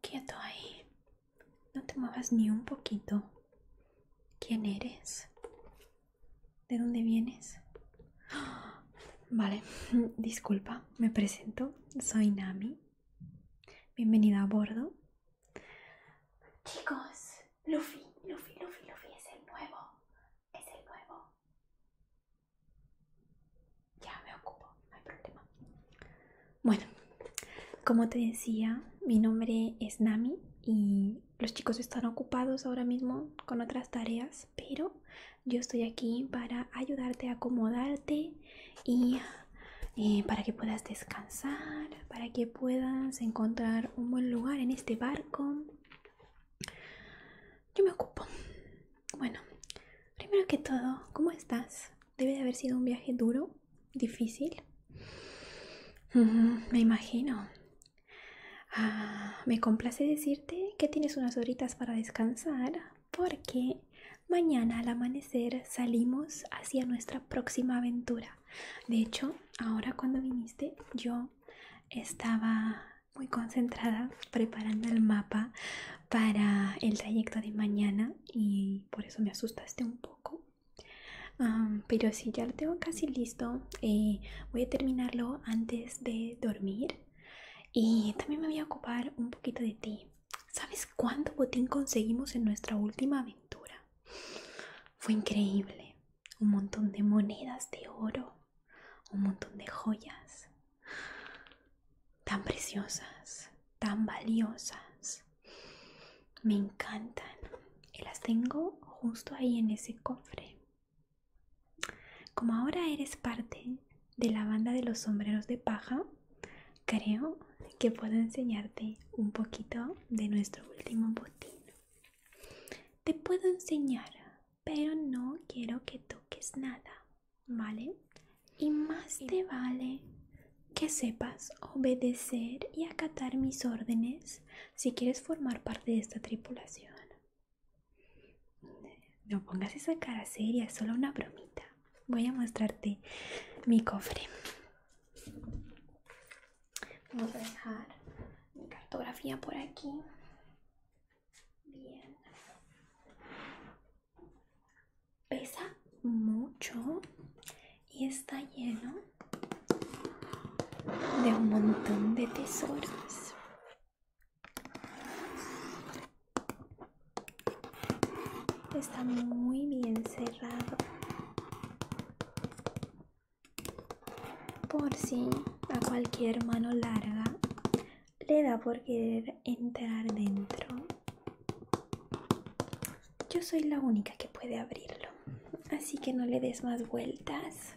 quieto ahí, no te muevas ni un poquito. ¿Quién eres? ¿De dónde vienes? Vale, disculpa, me presento, soy Nami. Bienvenido a bordo. Chicos, Luffy, Luffy, Luffy, Luffy es el nuevo. Es el nuevo. Ya me ocupo, no hay problema. Bueno, como te decía, mi nombre es Nami y los chicos están ocupados ahora mismo con otras tareas, pero yo estoy aquí para ayudarte a acomodarte y y para que puedas descansar, para que puedas encontrar un buen lugar en este barco. Yo me ocupo. Bueno, primero que todo, ¿cómo estás? Debe de haber sido un viaje duro, difícil. me imagino. Ah, me complace decirte que tienes unas horitas para descansar porque mañana al amanecer salimos hacia nuestra próxima aventura. De hecho, ahora cuando viniste yo estaba muy concentrada preparando el mapa para el trayecto de mañana y por eso me asustaste un poco. pero sí, ya lo tengo casi listo. Eh, voy a terminarlo antes de dormir. Y también me voy a ocupar un poquito de ti. ¿Sabes cuánto botín conseguimos en nuestra última aventura? Fue increíble. Un montón de monedas de oro, un montón de joyas tan preciosas, tan valiosas. Me encantan. Y las tengo justo ahí en ese cofre. Como ahora eres parte de la banda de los sombreros de paja, creo que puedo enseñarte un poquito de nuestro último botín. Te puedo enseñar, pero no quiero que toques nada, ¿vale? Y más te vale que sepas obedecer y acatar mis órdenes si quieres formar parte de esta tripulación. No pongas esa cara seria, es solo una bromita voy a mostrarte mi cofre. Vamos a dejar mi cartografía por aquí. Bien. Pesa mucho y está lleno de un montón de tesoros. Está muy bien cerrado. Por si a cualquier mano larga le da por querer entrar dentro. Yo soy la única que puede abrirlo, así que no le des más vueltas.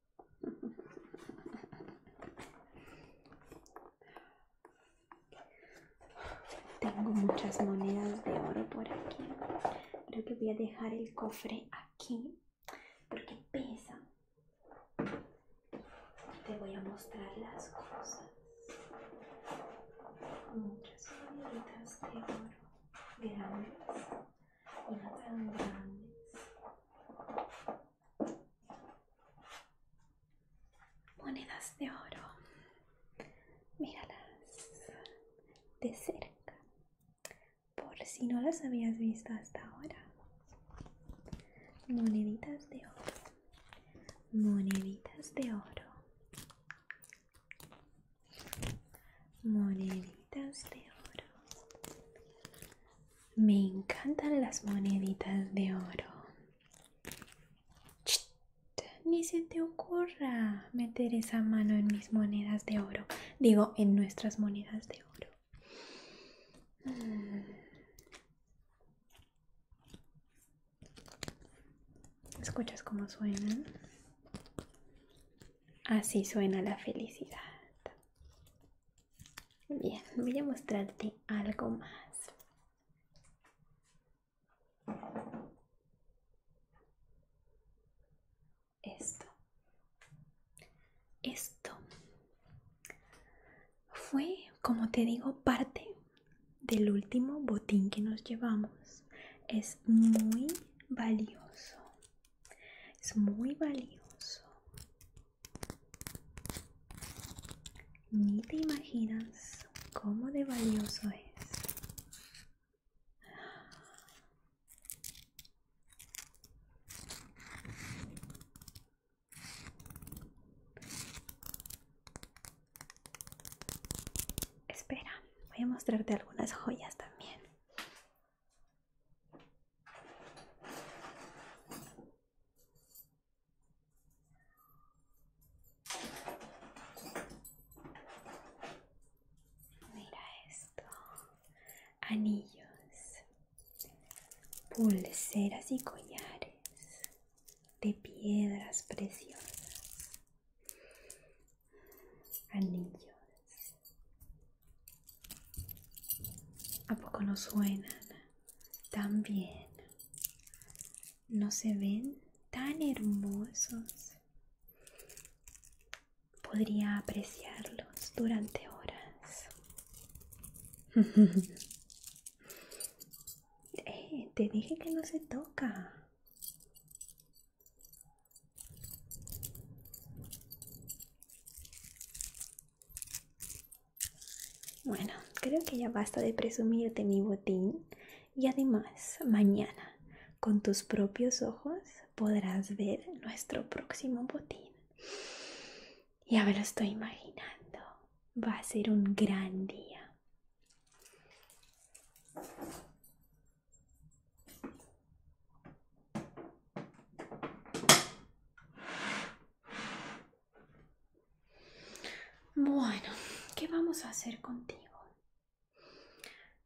Tengo muchas monedas de oro por aquí. Creo que voy a dejar el cofre aquí porque pesa. Te voy a mostrar las cosas. Muchas monedas de oro grandes y no tan grandes. Monedas de oro. Míralas de cerca. Por si no las habías visto hasta ahora. Moneditas de oro. Moneditas de oro. Moneditas de oro. Me encantan las moneditas de oro. Ni se te ocurra meter esa mano en mis monedas de oro. Digo, en nuestras monedas de oro. Mm. ¿Escuchas cómo suenan? Así suena la felicidad. Bien, voy a mostrarte algo más. Esto. Esto fue, como te digo, parte del último botín que nos llevamos. Es muy valioso. Es muy valioso. Ni te imaginas cómo de valioso es. Espera, voy a mostrarte algunas joyas también. Mira esto. Anillos, pulseras y collares de piedras preciosas. Anillos, ¿A poco no suenan también ¿No se ven tan hermosos? Podría apreciarlos durante horas. Eh, te dije que no se toca. Bueno, creo que ya basta de presumirte mi botín y además mañana con tus propios ojos podrás ver nuestro próximo botín. Ya me lo estoy imaginando. Va a ser un gran día. Bueno, ¿qué vamos a hacer contigo?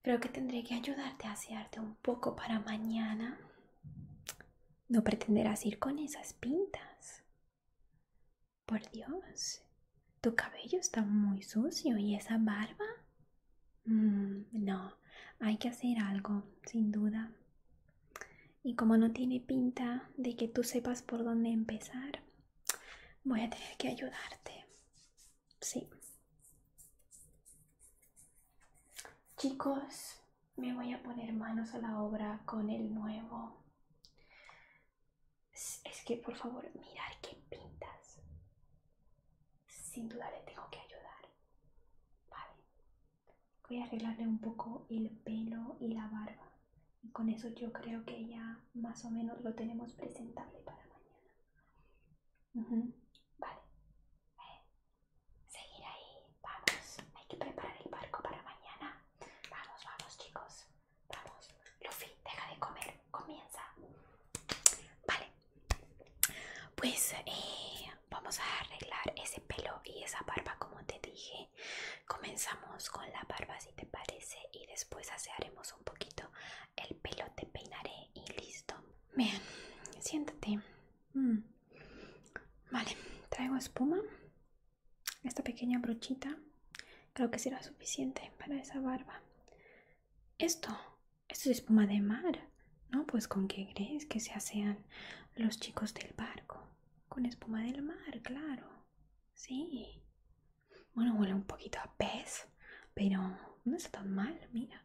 Creo que tendré que ayudarte a asearte un poco para mañana. No pretenderás ir con esas pintas. Por Dios, tu cabello está muy sucio y esa barba. Mm, no, hay que hacer algo, sin duda. Y como no tiene pinta de que tú sepas por dónde empezar, voy a tener que ayudarte. Sí. Chicos, me voy a poner manos a la obra con el nuevo. Es que por favor, mirad qué pintas. Sin duda le tengo que ayudar. Vale voy a arreglarle un poco el pelo y la barba. Y con eso yo creo que ya más o menos lo tenemos presentable para mañana. Vale. Eh, seguir ahí. Vamos. Hay que preparar el barco para mañana. Vamos, vamos chicos. Vamos. Luffy, deja de comer. Comienza. Vale. Pues eh, vamos a arreglar ese pelo y esa barba como te dije. Comenzamos con la barba si te parece y después asearemos un poquito el pelo, te peinaré y listo. Bien, siéntate. Mm. Vale, traigo espuma. Esta pequeña brochita creo que será suficiente para esa barba. Esto, esto es espuma de mar. No, pues con qué crees que se hacen los chicos del barco. Con espuma del mar, claro. Sí. Bueno, huele un poquito a pez, pero no está mal, mira.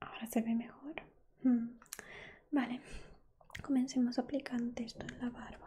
Ahora se ve mejor. Mm. Vale, comencemos aplicando esto en la barba.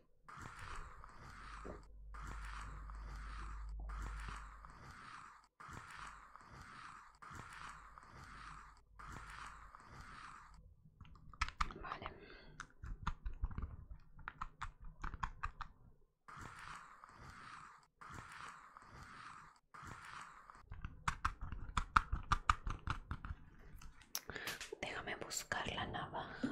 Déjame buscar la navaja.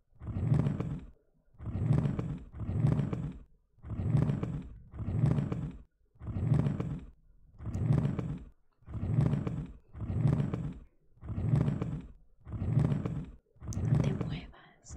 No te muevas.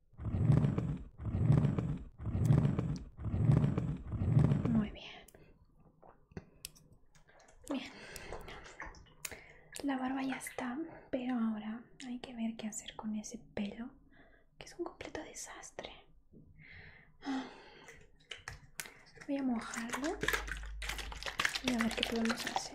Muy bien. Bien. La barba ya está, pero ahora hay que ver qué hacer con ese pelo, que es un completo desastre. Ah. Voy a mojarlo y a ver qué podemos hacer.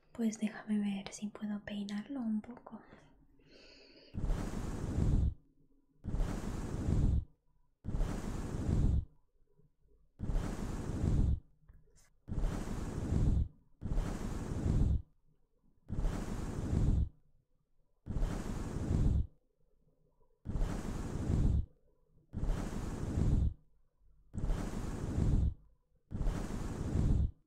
Pues déjame ver si puedo peinarlo un poco.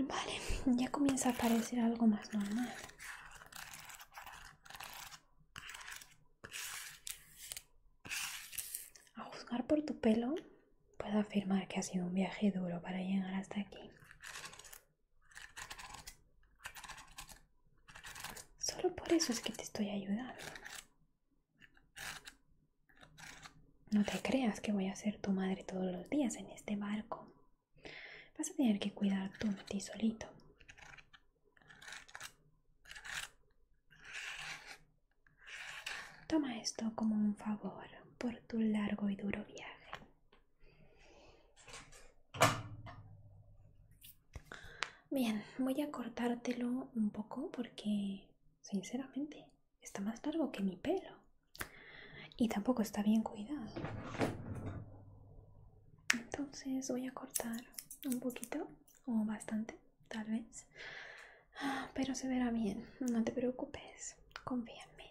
Vale, ya comienza a parecer algo más normal. A juzgar por tu pelo, puedo afirmar que ha sido un viaje duro para llegar hasta aquí. Solo por eso es que te estoy ayudando. No te creas que voy a ser tu madre todos los días en este barco. Vas a tener que cuidar tú de ti solito. Toma esto como un favor por tu largo y duro viaje. Bien, voy a cortártelo un poco porque, sinceramente, está más largo que mi pelo. Y tampoco está bien cuidado. Entonces voy a cortar un poquito o bastante, tal vez. Ah, pero se verá bien, no te preocupes, confía en mí.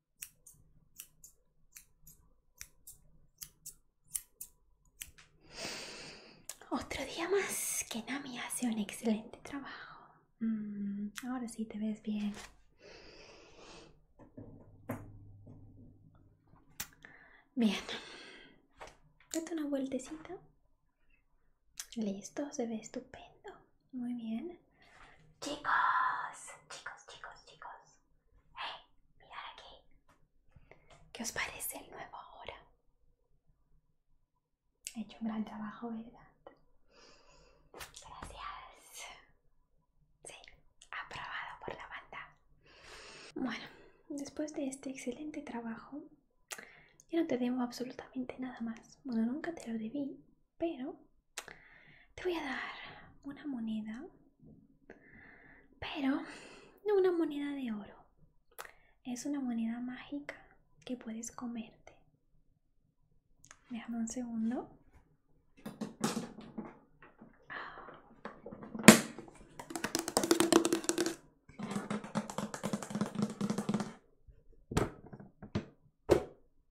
Otro día más que Nami hace un excelente trabajo. Mm, ahora sí te ves bien. Bien. Date una vueltecita. Listo, se ve estupendo. Muy bien. Chicos, chicos, chicos, chicos. eh mirad aquí. ¿Qué os parece el nuevo ahora? He hecho un gran trabajo, ¿verdad? Gracias. Sí, aprobado por la banda. Bueno, después de este excelente trabajo, Yo no te debo absolutamente nada más. Bueno, nunca te lo debí, pero te voy a dar una moneda, pero no una moneda de oro, es una moneda mágica que puedes comerte. Déjame un segundo.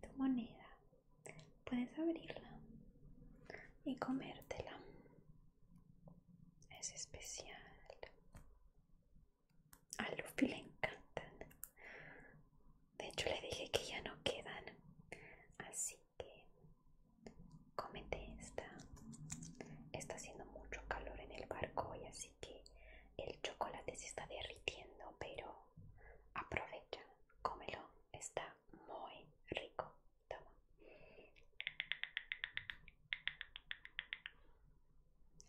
tu moneda. Puedes abrirla y comértela. Es especial. A Luffy le encantan. De hecho le dije que ya no quedan. Así que cómete esta. Está haciendo mucho calor en el barco y así que el chocolate se está derritiendo, pero aprovecha, cómelo, está muy rico. Toma.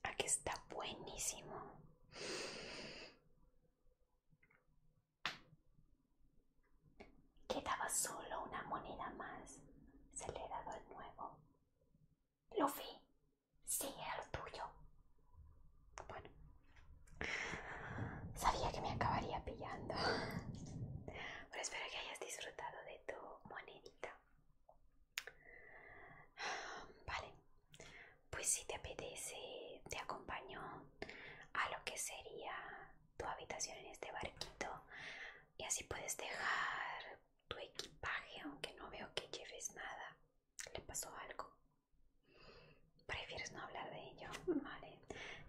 Aquí está buenísimo. Quedaba solo una moneda más. Se le ha dado el nuevo. Lo vi. Sí, era lo tuyo. Bueno. Sabía que me acabaría pillando. Pero espero que hayas disfrutado de tu monedita. Vale. Pues si te apetece, te acompaño a lo que sería tu habitación en este barquito. Y así puedes dejar tu equipaje, aunque no veo que lleves nada. ¿Le pasó algo? ¿Prefieres no hablar de ello? Vale,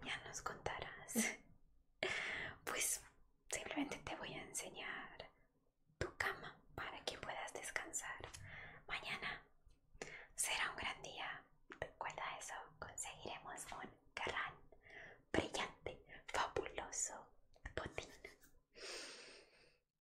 ya nos contarás. Pues simplemente te voy a enseñar tu cama para que puedas descansar. Mañana será un gran día. Recuerda eso, conseguiremos un gran, brillante, fabuloso botín.